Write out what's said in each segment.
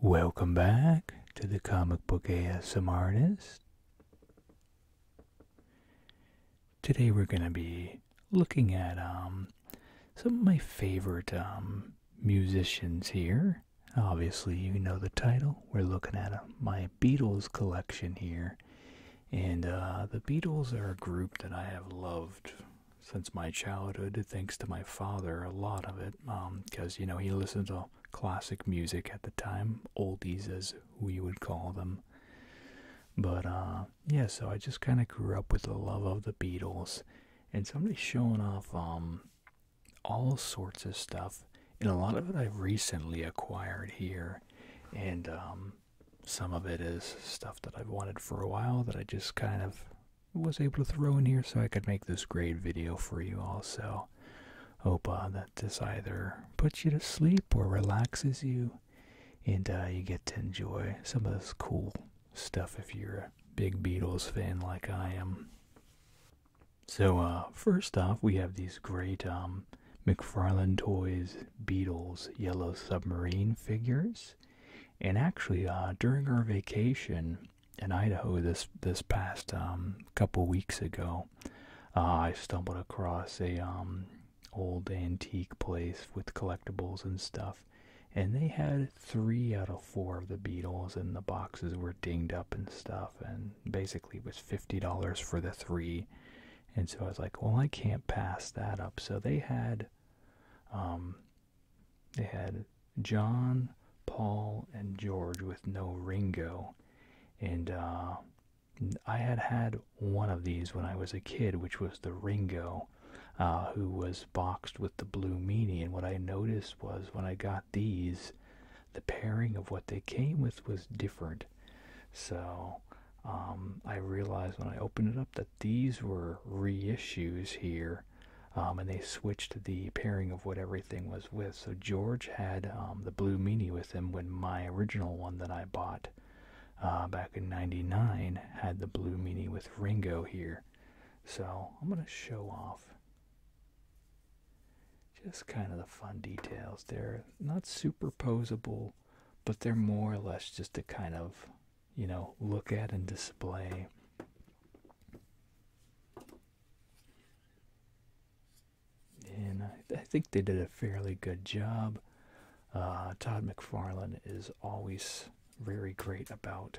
Welcome back to the Comic Book ASM Artist. Today we're going to be looking at um, some of my favorite um, musicians here. Obviously, you know the title. We're looking at uh, my Beatles collection here. And uh, the Beatles are a group that I have loved since my childhood, thanks to my father, a lot of it it because um, you know he listened to classic music at the time, oldies as we would call them. But uh, yeah, so I just kind of grew up with the love of the Beatles, and somebody's showing off um, all sorts of stuff, and a lot of it I've recently acquired here, and um, some of it is stuff that I've wanted for a while that I just kind of was able to throw in here so I could make this great video for you also. Hope uh, that this either puts you to sleep or relaxes you and uh, you get to enjoy some of this cool stuff if you're a big Beatles fan like I am. So uh, first off, we have these great um, McFarlane Toys Beatles Yellow Submarine figures. And actually, during our vacation, in Idaho this this past um, couple weeks ago. Uh, I stumbled across a um, old antique place with collectibles and stuff, and they had three out of four of the Beatles, and the boxes were dinged up and stuff, and basically it was fifty dollars for the three. And so I was like, well, I can't pass that up. So they had um, they had John, Paul, and George with no Ringo. And uh, I had had one of these when I was a kid, which was the Ringo, uh, who was boxed with the Blue Meanie. And what I noticed was when I got these, the pairing of what they came with was different. So um, I realized when I opened it up that these were reissues here um, and they switched the pairing of what everything was with. So George had um, the Blue mini with him when my original one that I bought uh, back in 99 had the Blue mini with Ringo here. So I'm going to show off just kind of the fun details. They're not superposable, but they're more or less just to kind of, you know, look at and display and I, think they did a fairly good job. Uh, Todd McFarlane is always very great about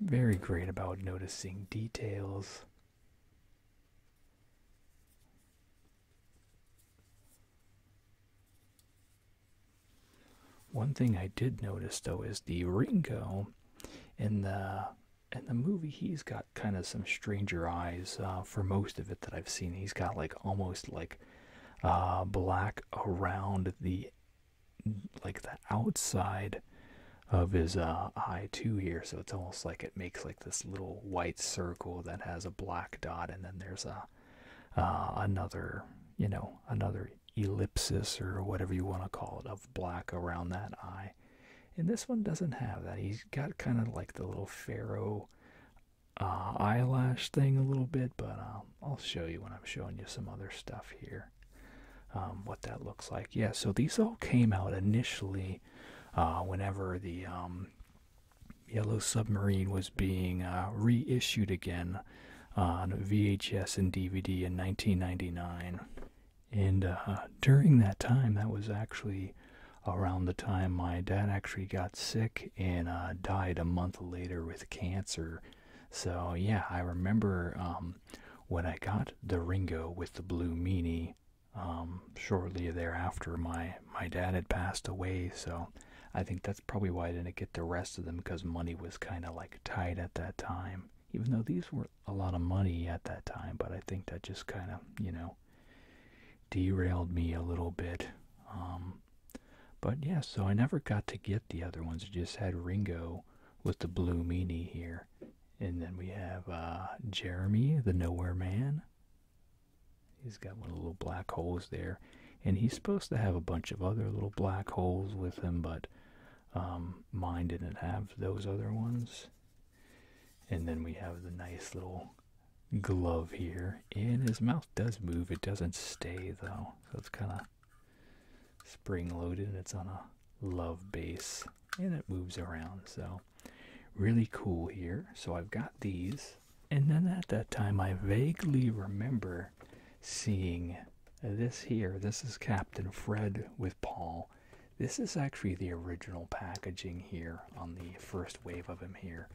very great about noticing details one thing I did notice though is the Ringo in the in the movie he's got kind of some stranger eyes uh, for most of it that I've seen. He's got like almost like uh, black around the like the outside of his uh, eye too here so it's almost like it makes like this little white circle that has a black dot and then there's a uh, another, you know, another ellipsis or whatever you want to call it of black around that eye. And this one doesn't have that. He's got kind of like the little pharaoh uh, eyelash thing a little bit, but um, I'll show you when I'm showing you some other stuff here. Um, what that looks like. Yeah, so these all came out initially uh, whenever the um, Yellow Submarine was being uh, reissued again uh, on VHS and DVD in 1999. And uh, during that time, that was actually around the time my dad actually got sick and died a month later with cancer. So, yeah, I remember um, when I got the Ringo with the Blue Meanie. Um, shortly thereafter, my, my dad had passed away, so I think that's probably why I didn't get the rest of them because money was kind of like tight at that time. Even though these were a lot of money at that time, but I think that just kind of, you know, derailed me a little bit. Um, but yeah, so I never got to get the other ones. I just had Ringo with the blue meanie here. And then we have uh, Jeremy, the Nowhere Man. He's got one of the little black holes there and he's supposed to have a bunch of other little black holes with him, but um, mine didn't have those other ones. And then we have the nice little glove here, and his mouth does move. It doesn't stay though, so it's kind of spring-loaded. and It's on a love base, and it moves around. So really cool here. So I've got these. And then at that time, I vaguely remember seeing this here. This is Captain Fred with Paul. This is actually the original packaging here on the first wave of him here.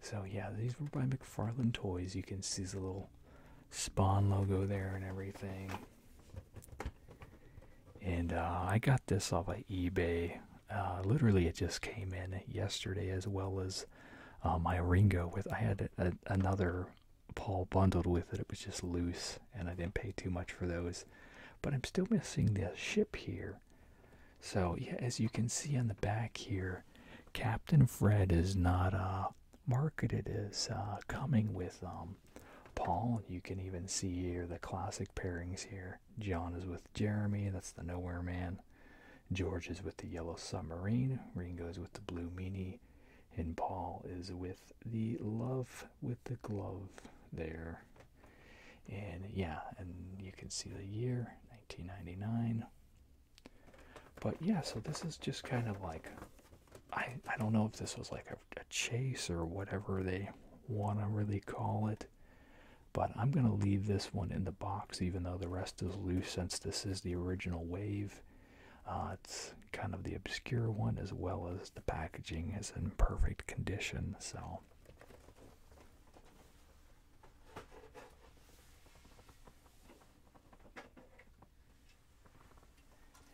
So, yeah, these were by McFarlane Toys. You can see the little Spawn logo there and everything. And uh, I got this off of eBay. Uh, literally, it just came in yesterday, as well as uh, my Ringo with I had another Paul bundled with it. It was just loose, and I didn't pay too much for those. But I'm still missing the ship here. So yeah, as you can see on the back here, Captain Fred is not uh, marketed as uh, coming with um, Paul. You can even see here the classic pairings here. John is with Jeremy. That's the Nowhere Man. George is with the Yellow Submarine, Ringo's with the Blue mini, and Paul is with the Love with the Glove there. And yeah, and you can see the year 1999. But yeah, so this is just kind of like I I don't know if this was like a chase or whatever they want to really call it, but I'm gonna leave this one in the box even though the rest is loose since this is the original wave. Uh, it's kind of the obscure one, as well as the packaging is in perfect condition. So,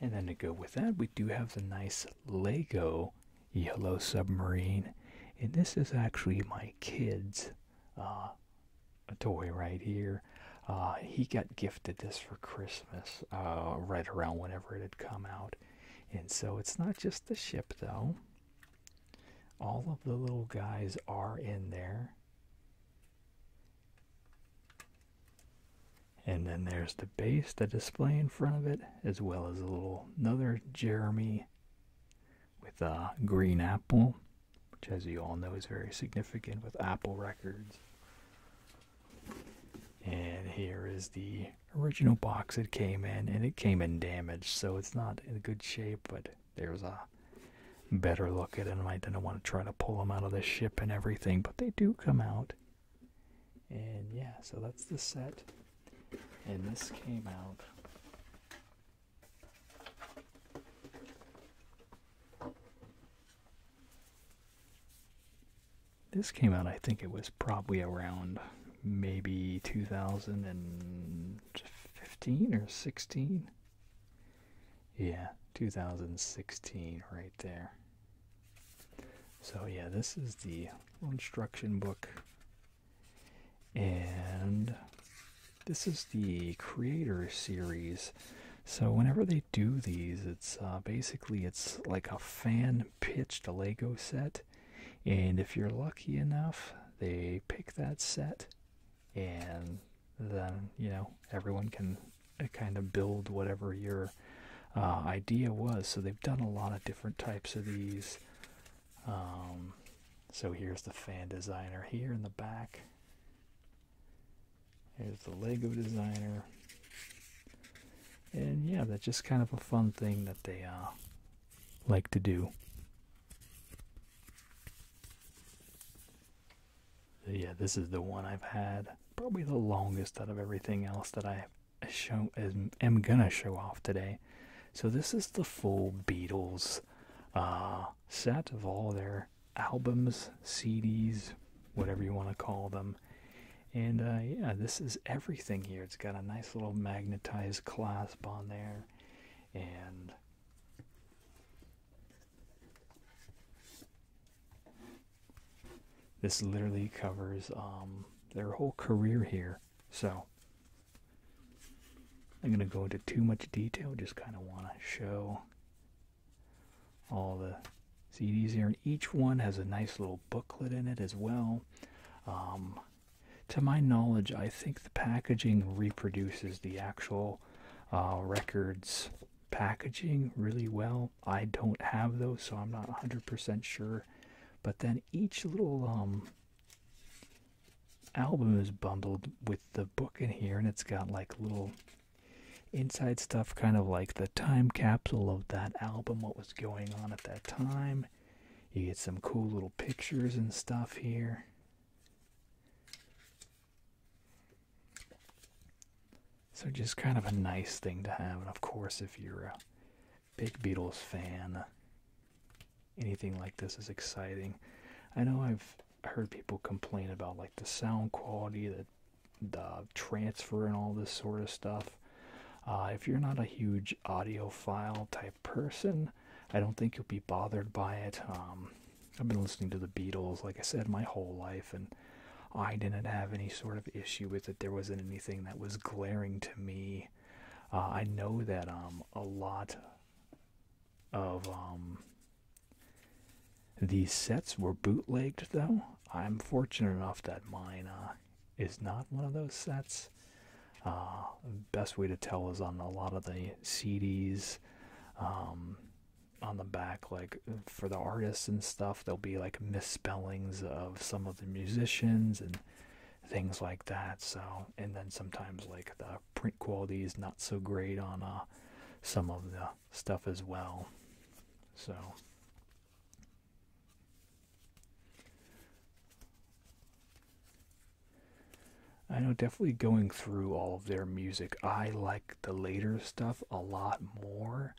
and then to go with that, we do have the nice Lego Yellow Submarine, and this is actually my kids' Uh, a toy right here. Uh, he got gifted this for Christmas, uh, right around whenever it had come out. And so it's not just the ship, though. All of the little guys are in there. And then there's the base, the display in front of it, as well as a little another Jeremy with a green apple which as you all know is very significant with Apple Records. And here is the original box it came in, and it came in damaged, so it's not in good shape, but there's a better look at it. I didn't want to try to pull them out of the ship and everything, but they do come out. And yeah, so that's the set. And this came out this came out, I think it was probably around maybe 2015 or 16. Yeah, 2016 right there. So yeah, this is the instruction book. And this is the creator series so whenever they do these it's uh, basically it's like a fan pitched lego set and if you're lucky enough they pick that set and then you know everyone can uh, kind of build whatever your uh, idea was so they've done a lot of different types of these um, so here's the fan designer here in the back Here's the Lego designer. And yeah, that's just kind of a fun thing that they uh, like to do. yeah, this is the one I've had probably the longest out of everything else that I show am gonna show off today. So this is the full Beatles uh, set of all their albums, CDs, whatever you want to call them. And uh, yeah, this is everything here. It's got a nice little magnetized clasp on there. And this literally covers um, their whole career here. So I'm going to go into too much detail. Just kind of want to show all the CDs here. And each one has a nice little booklet in it as well. Um, to my knowledge, I think the packaging reproduces the actual uh, records packaging really well. I don't have those, so I'm not 100% sure. But then each little um, album is bundled with the book in here, and it's got like little inside stuff, kind of like the time capsule of that album, what was going on at that time. You get some cool little pictures and stuff here. So, just kind of a nice thing to have. And of course, if you're a big Beatles fan, anything like this is exciting. I know I've I heard people complain about like the sound quality, the the transfer, and all this sort of stuff. Uh, if you're not a huge audiophile type person, I don't think you'll be bothered by it. Um, I've been listening to the Beatles, like I said, my whole life, and I didn't have any sort of issue with it. There wasn't anything that was glaring to me. Uh, I know that um, a lot of um, these sets were bootlegged, though. I'm fortunate enough that mine uh, is not one of those sets. Uh, best way to tell is on a lot of the CDs. Um, on the back, like for the artists and stuff, there'll be like misspellings of some of the musicians and things like that. So, and then sometimes like the print quality is not so great on uh, some of the stuff as well. So I know definitely going through all of their music, I like the later stuff a lot more,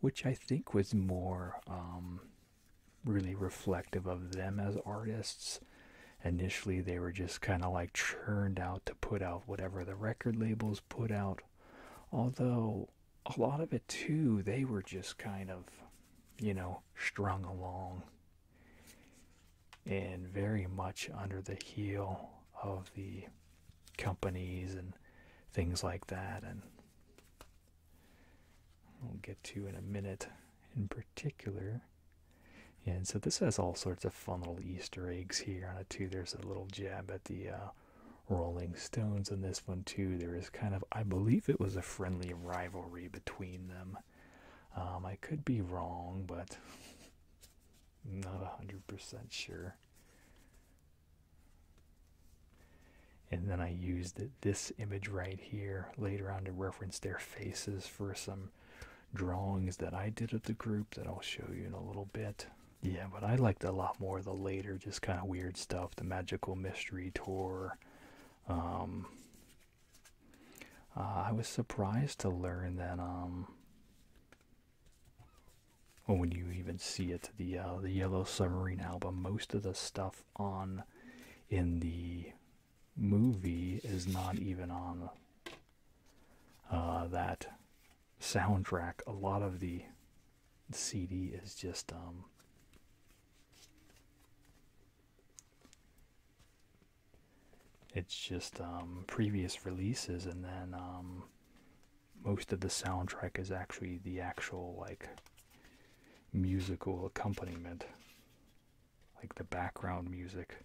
which I think was more um, really reflective of them as artists initially they were just kind of like churned out to put out whatever the record labels put out. Although a lot of it too, they were just kind of, you know, strung along and very much under the heel of the companies and things like that. And we'll get to in a minute in particular and so this has all sorts of fun little Easter eggs here on it too. There's a little jab at the uh, Rolling Stones on this one too. There is kind of, I believe it was a friendly rivalry between them. Um, I could be wrong, but not 100% sure. And then I used this image right here later on to reference their faces for some drawings that I did at the group that I'll show you in a little bit. Yeah, but I liked a lot more the later, just kind of weird stuff, the Magical Mystery Tour. Um, uh, I was surprised to learn that um, when you even see it, the uh, the Yellow Submarine album, most of the stuff on in the movie is not even on uh, that soundtrack. A lot of the CD is just um, it's just um, previous releases, and then um, most of the soundtrack is actually the actual like musical accompaniment like the background music.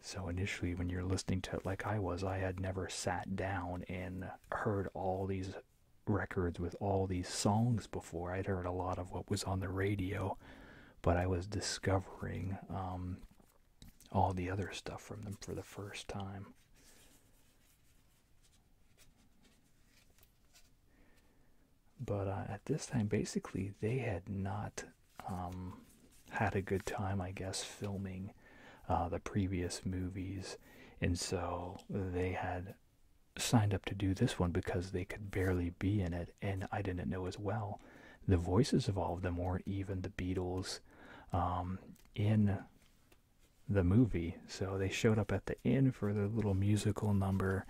So initially when you're listening to it like I was, I had never sat down and heard all these records with all these songs before. I'd heard a lot of what was on the radio, but I was discovering um, all the other stuff from them for the first time. But uh, at this time, basically, they had not um, had a good time, I guess, filming uh, the previous movies. And so they had signed up to do this one because they could barely be in it. And I didn't know as well. The voices of all of them weren't even the Beatles um, in the movie. So they showed up at the end for the little musical number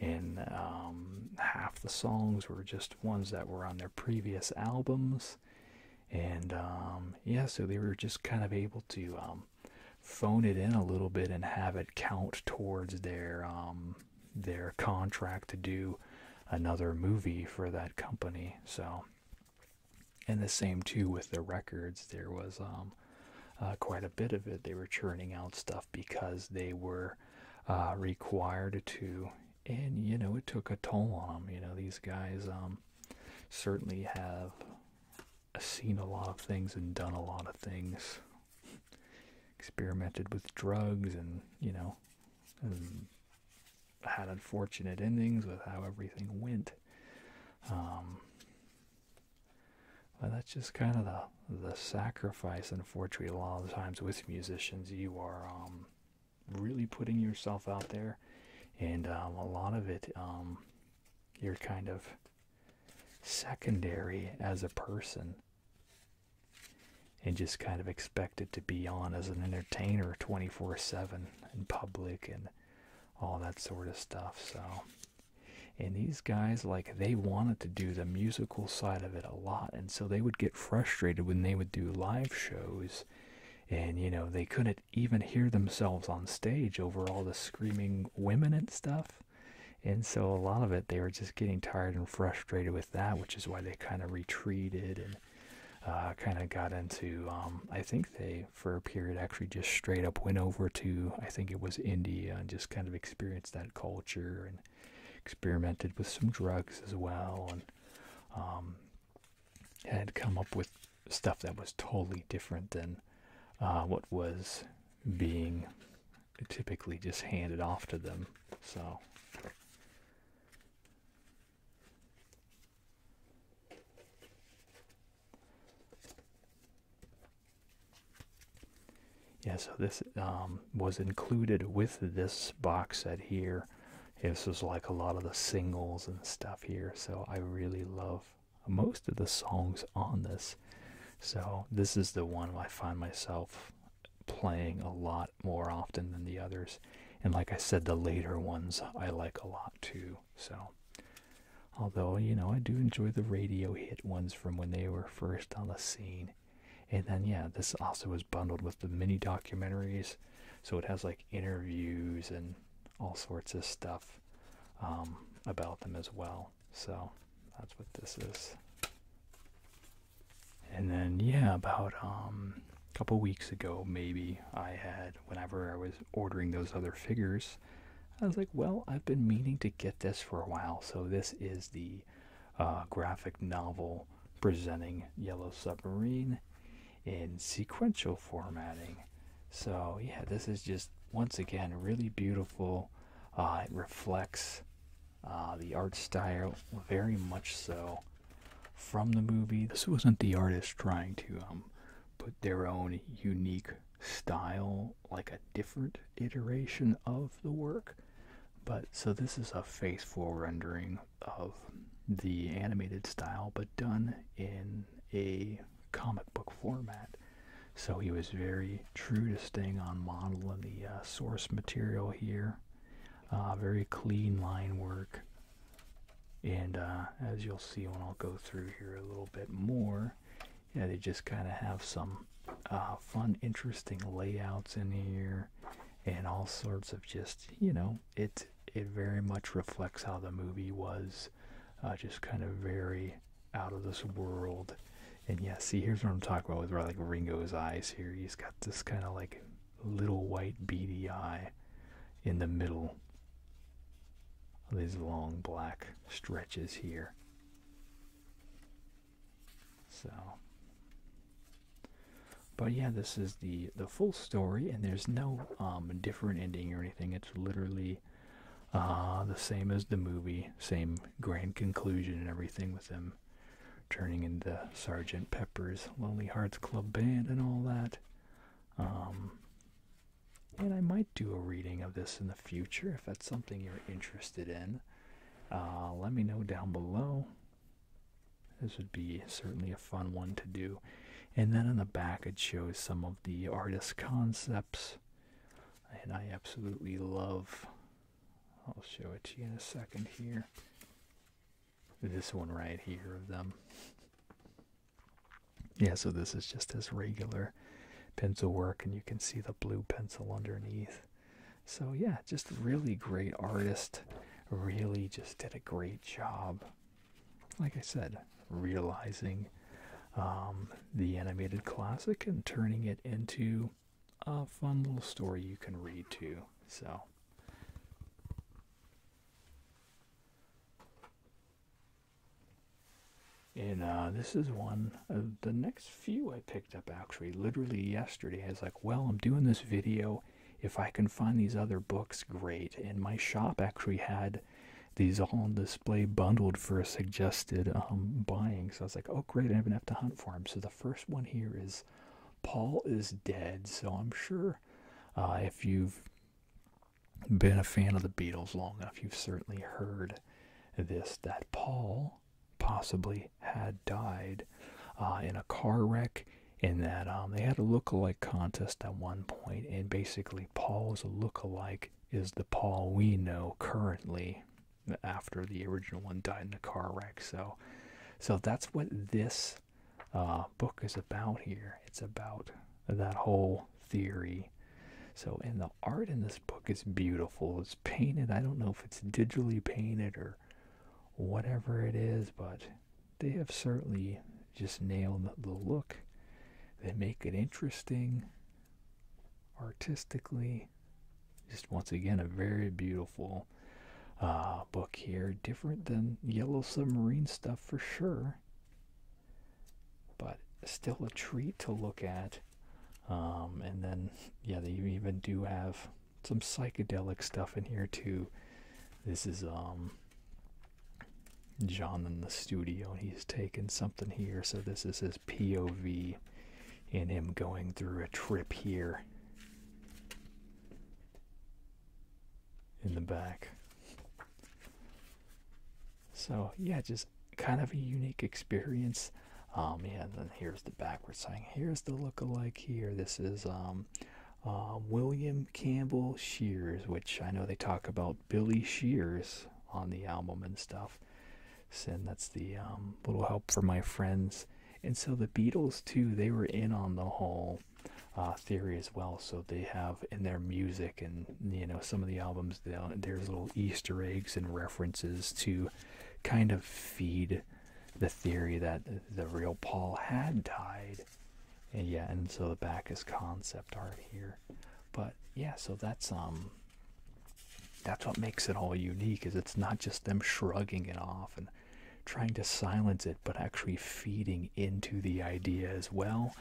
and um, half the songs were just ones that were on their previous albums. And um, yeah, so they were just kind of able to um, phone it in a little bit and have it count towards their their contract to do another movie for that company. So, and the same too with the records. There was uh, quite a bit of it. They were churning out stuff because they were uh, required to, and you know, it took a toll on them. You know, these guys um, certainly have seen a lot of things and done a lot of things, experimented with drugs, and you know, had unfortunate endings with how everything went. Um, that's just kind of the the sacrifice. Unfortunately, a lot of times with musicians, you are um, really putting yourself out there, and um, a lot of it, um, you're kind of secondary as a person, and just kind of expected to be on as an entertainer, twenty four seven in public and all that sort of stuff. So and these guys like they wanted to do the musical side of it a lot and so they would get frustrated when they would do live shows and you know they couldn't even hear themselves on stage over all the screaming women and stuff and so a lot of it they were just getting tired and frustrated with that which is why they kind of retreated and uh, kind of got into um, i think they for a period actually just straight up went over to i think it was india and just kind of experienced that culture and experimented with some drugs as well, and um, had come up with stuff that was totally different than uh, what was being typically just handed off to them. So. Yeah, so this um, was included with this box set here. This was like a lot of the singles and stuff here. So I really love most of the songs on this. So this is the one I find myself playing a lot more often than the others. And like I said, the later ones I like a lot too. So, although, you know, I do enjoy the radio hit ones from when they were first on the scene. And then, yeah, this also is bundled with the mini documentaries. So it has like interviews and all sorts of stuff um, about them as well. So that's what this is. And then, yeah, about um, a couple weeks ago, maybe I had, whenever I was ordering those other figures, I was like, well, I've been meaning to get this for a while. So this is the uh, graphic novel presenting Yellow Submarine in sequential formatting. So, yeah, this is just once again really beautiful. Uh, it reflects uh, the art style very much so from the movie. This wasn't the artist trying to um, put their own unique style, like a different iteration of the work. But so this is a faithful rendering of the animated style, but done in a comic book format. So he was very true to staying on model in the uh, source material here. Uh, very clean line work. And uh, as you'll see when I'll go through here a little bit more, yeah, they just kind of have some uh, fun, interesting layouts in here, and all sorts of just you know it it very much reflects how the movie was, uh, just kind of very out of this world. And yeah, see, here's what I'm talking about with like Ringo's eyes here. He's got this kind of like little white beady eye in the middle of these long black stretches here so, but yeah, this is the the full story, and there's no um different ending or anything. It's literally uh the same as the movie, same grand conclusion and everything with them turning into Sergeant Pepper's Lonely Hearts Club Band and all that. Um, and I might do a reading of this in the future if that's something you're interested in. Uh, let me know down below. This would be certainly a fun one to do. And then on the back, it shows some of the artist concepts. And I absolutely love, I'll show it to you in a second here. This one right here of them. Yeah, so this is just as regular pencil work, and you can see the blue pencil underneath. So yeah, just really great artist. Really just did a great job. Like I said, realizing um, the animated classic and turning it into a fun little story you can read too. So. And uh, this is one of the next few I picked up actually literally yesterday. I was like, well, I'm doing this video. If I can find these other books, great. And my shop actually had these all on display bundled for a suggested um, buying. So I was like, oh, great. I do not even have to hunt for them. So the first one here is Paul is Dead. So I'm sure uh, if you've been a fan of the Beatles long enough, you've certainly heard this that Paul possibly had died uh, in a car wreck. In that um, they had a look-alike contest at one point, and basically Paul's look-alike is the Paul we know currently after the original one died in a car wreck. So, so that's what this uh, book is about here. It's about that whole theory. So, in the art in this book is beautiful. It's painted. I don't know if it's digitally painted or whatever it is, but they have certainly just nailed the look. They make it interesting artistically. Just once again, a very beautiful uh, book here. Different than Yellow Submarine stuff for sure, but still a treat to look at um, and then, yeah, they even do have some psychedelic stuff in here too. This is um, John in the studio, and he's taking something here. So this is his POV, and him going through a trip here. In the back. So yeah, just kind of a unique experience. Um, yeah, then here's the backward sign. Here's the look-alike here. This is um, uh, William Campbell Shears, which I know they talk about Billy Shears on the album and stuff. And that's the um, little help for my friends. And so the Beatles too, they were in on the whole uh, theory as well. So they have in their music and you know some of the albums, there's little Easter eggs and references to kind of feed the theory that the real Paul had died. And yeah, and so the back concept art here. But yeah, so that's um that's what makes it all unique is it's not just them shrugging it off and trying to silence it, but actually feeding into the idea as well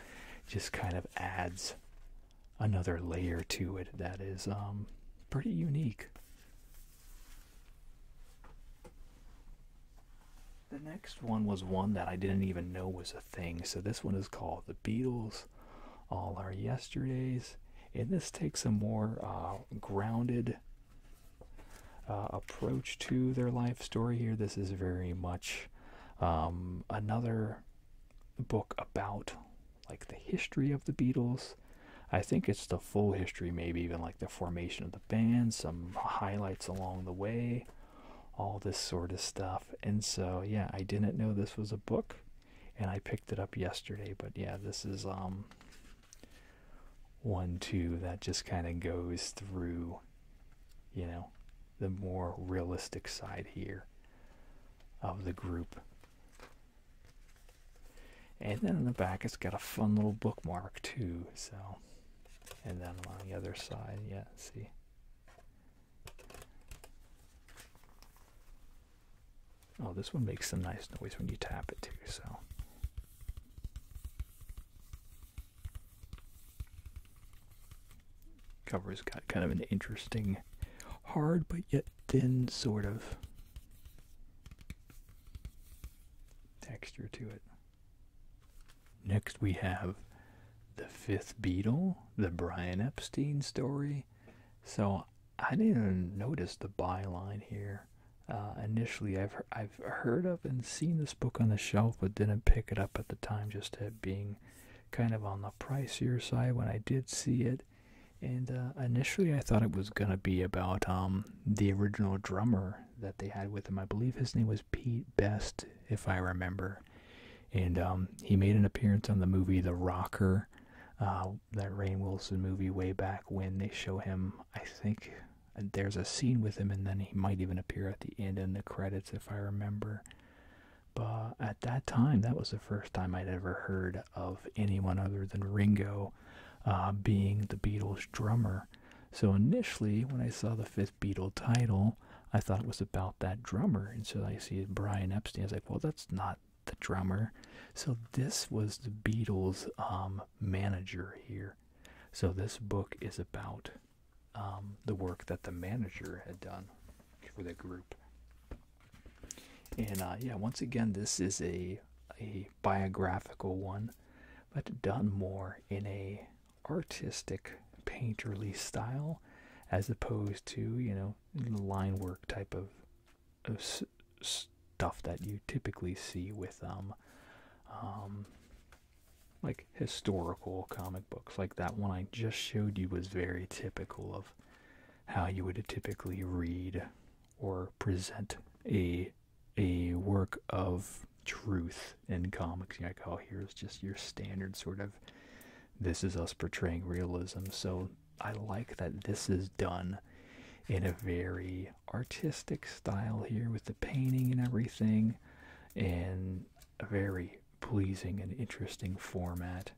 just kind of adds another layer to it that is um pretty unique the next one was one that I didn't even know was a thing. So this one is called The Beatles, All Our Yesterdays. And this takes a more uh, grounded uh, approach to their life story here. This is very much um, another book about like the history of the Beatles. I think it's the full history, maybe even like the formation of the band, some highlights along the way, all this sort of stuff. And so, yeah, I didn't know this was a book, and I picked it up yesterday. But yeah, this is um one two that just kind of goes through, you know, the more realistic side here of the group. And then on the back, it's got a fun little bookmark too. So, and then on the other side, yeah, see. Oh, this one makes some nice noise when you tap it too. So. Cover's got kind of an interesting, hard but yet thin sort of texture to it. Next, we have The Fifth beetle, the Brian Epstein story. So, I didn't notice the byline here. Uh, initially, I've, I've heard of and seen this book on the shelf, but didn't pick it up at the time, just at being kind of on the pricier side when I did see it and uh, initially I thought it was gonna be about um, the original drummer that they had with him. I believe his name was Pete Best, if I remember, and um, he made an appearance on the movie The Rocker, uh, that Rain Wilson movie way back when they show him. I think uh, there's a scene with him, and then he might even appear at the end in the credits if I remember. But at that time, that was the first time I'd ever heard of anyone other than Ringo uh, being the Beatles' drummer. So initially, when I saw the fifth Beatle title, I thought it was about that drummer. And so I see Brian Epstein. I was like, well, that's not the drummer. So this was the Beatles' um, manager here. So this book is about um, the work that the manager had done for the group. And uh, yeah, once again, this is a a biographical one, but done more in a artistic painterly style, as opposed to you know line work type of, stuff that you typically see with um, um, like historical comic books. Like that one I just showed you was very typical of how you would typically read or present a a work of truth in comics. You know, oh, here's just your standard sort of this is us portraying realism. So I like that this is done in a very artistic style here with the painting and everything, and a very pleasing and interesting format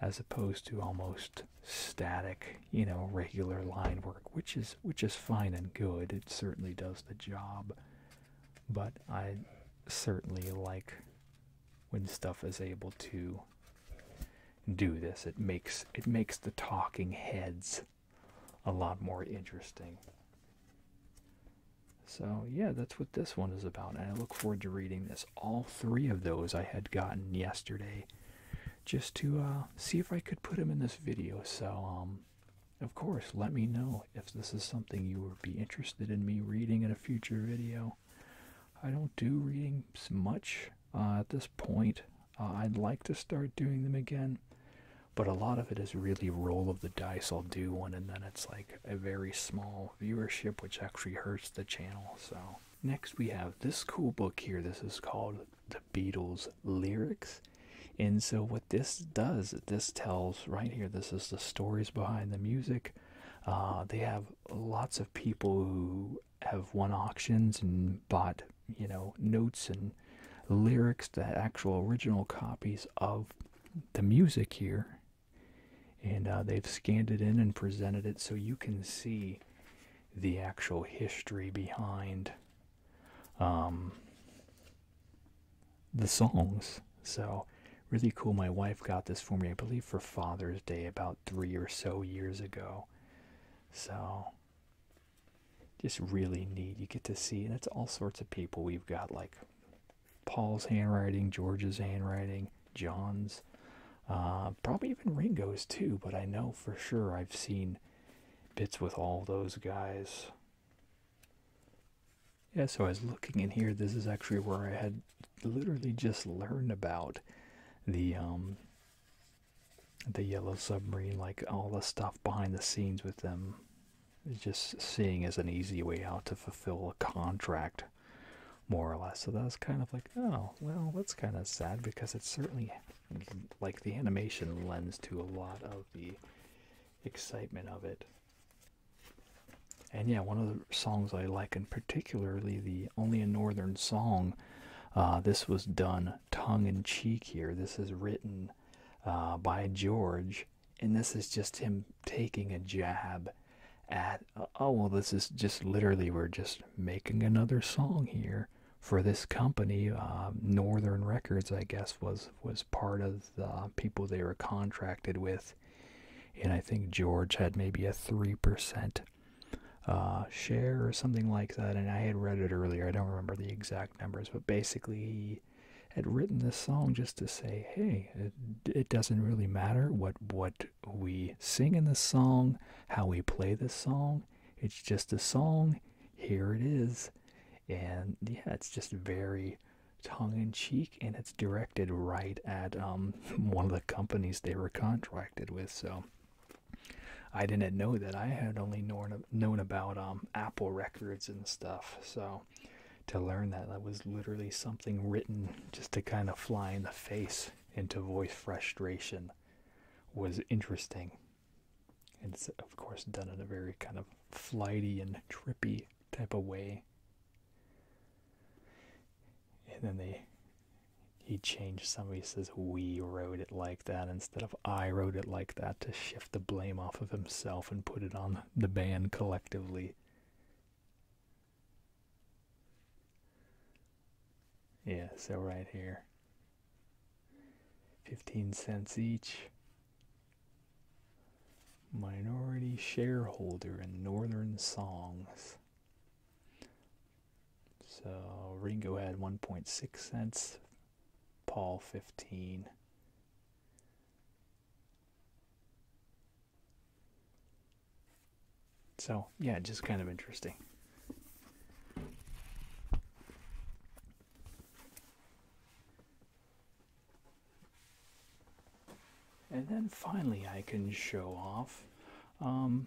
as opposed to almost static, you know, regular line work, which is which is fine and good. It certainly does the job, but I certainly like when stuff is able to do this. It makes it makes the talking heads a lot more interesting. So yeah, that's what this one is about, and I look forward to reading this all three of those I had gotten yesterday just to uh, see if I could put them in this video. So, um, of course, let me know if this is something you would be interested in me reading in a future video. I don't do readings much uh, at this point. Uh, I'd like to start doing them again, but a lot of it is really roll of the dice. I'll do one, and then it's like a very small viewership, which actually hurts the channel. So, Next, we have this cool book here. This is called The Beatles Lyrics. And so, what this does, this tells right here, this is the stories behind the music. Uh, they have lots of people who have won auctions and bought, you know, notes and lyrics, the actual original copies of the music here. And uh, they've scanned it in and presented it so you can see the actual history behind um, the songs. So, really cool. My wife got this for me, I believe, for Father's Day about three or so years ago. So, just really neat. You get to see, and it's all sorts of people. We've got like Paul's handwriting, George's handwriting, John's, uh, probably even Ringo's too. But I know for sure I've seen bits with all those guys. Yeah, so I was looking in here. This is actually where I had literally just learned about the um, the yellow submarine, like all the stuff behind the scenes with them. just seeing as an easy way out to fulfill a contract more or less. So that was kind of like, oh, well, that's kind of sad because it's certainly like the animation lends to a lot of the excitement of it. And yeah, one of the songs I like, and particularly the Only a Northern Song, uh, this was done tongue in cheek here. This is written uh, by George, and this is just him taking a jab at oh well this is just literally we're just making another song here for this company um, northern records i guess was was part of the people they were contracted with and i think george had maybe a 3% uh, share or something like that and i had read it earlier i don't remember the exact numbers but basically he had written this song just to say hey it, it doesn't really matter what what we sing in this song, how we play this song. It's just a song. Here it is. And yeah, it's just very tongue in cheek and it's directed right at um, one of the companies they were contracted with. So I didn't know that. I had only known, known about um, Apple Records and stuff. So to learn that, that was literally something written just to kind of fly in the face. Into voice frustration was interesting. And it's, of course, done in a very kind of flighty and trippy type of way. And then they he changed somebody says we wrote it like that instead of I wrote it like that to shift the blame off of himself and put it on the band collectively. Yeah, so right here. 15 cents each. Minority shareholder in Northern Songs. So Ringo had 1.6 cents, Paul 15. So, yeah, just kind of interesting. And then finally, I can show off. Um,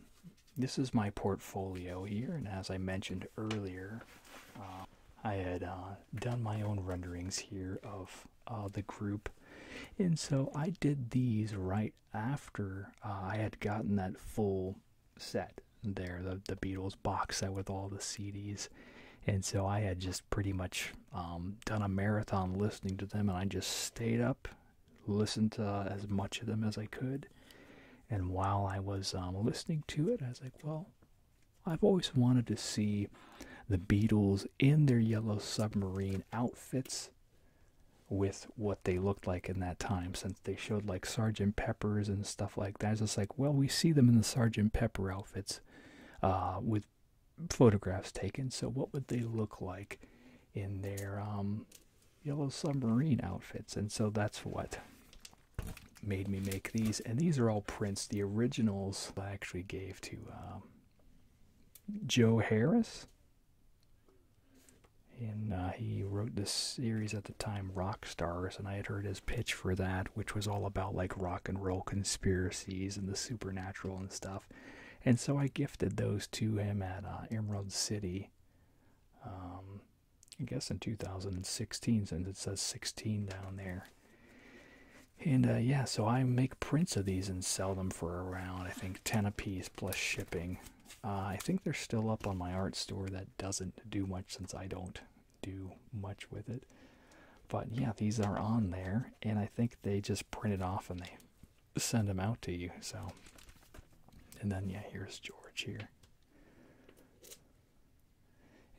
this is my portfolio here, and as I mentioned earlier, uh, I had uh, done my own renderings here of uh, the group. And so I did these right after uh, I had gotten that full set there, the, the Beatles box set with all the CDs. And so I had just pretty much um, done a marathon listening to them, and I just stayed up, listened to uh, as much of them as I could. And while I was um, listening to it, I was like, well, I've always wanted to see the Beatles in their yellow submarine outfits with what they looked like in that time since they showed like sergeant peppers and stuff like that it's like well we see them in the sergeant pepper outfits uh, with photographs taken so what would they look like in their um, yellow submarine outfits and so that's what made me make these and these are all prints the originals i actually gave to um, joe harris and uh, he wrote this series at the time, Rock Stars, and I had heard his pitch for that, which was all about like rock and roll conspiracies and the supernatural and stuff. And so I gifted those to him at uh, Emerald City, um, I guess in 2016, since it says 16 down there. And uh, yeah, so I make prints of these and sell them for around, I think, 10 a piece plus shipping. Uh, I think they're still up on my art store. That doesn't do much since I don't do much with it. But yeah, these are on there, and I think they just print it off and they send them out to you. So, and then yeah, here's George here.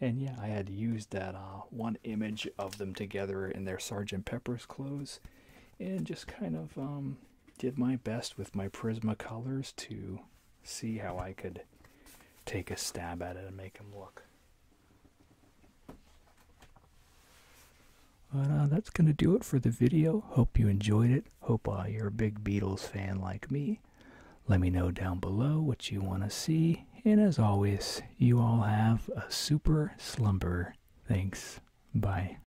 And yeah, I had used that uh, one image of them together in their Sergeant Pepper's clothes, and just kind of um, did my best with my Prismacolors to see how I could take a stab at it and make him look. But uh, that's going to do it for the video. Hope you enjoyed it. Hope uh, you're a big Beatles fan like me. Let me know down below what you want to see. And as always, you all have a super slumber. Thanks. Bye.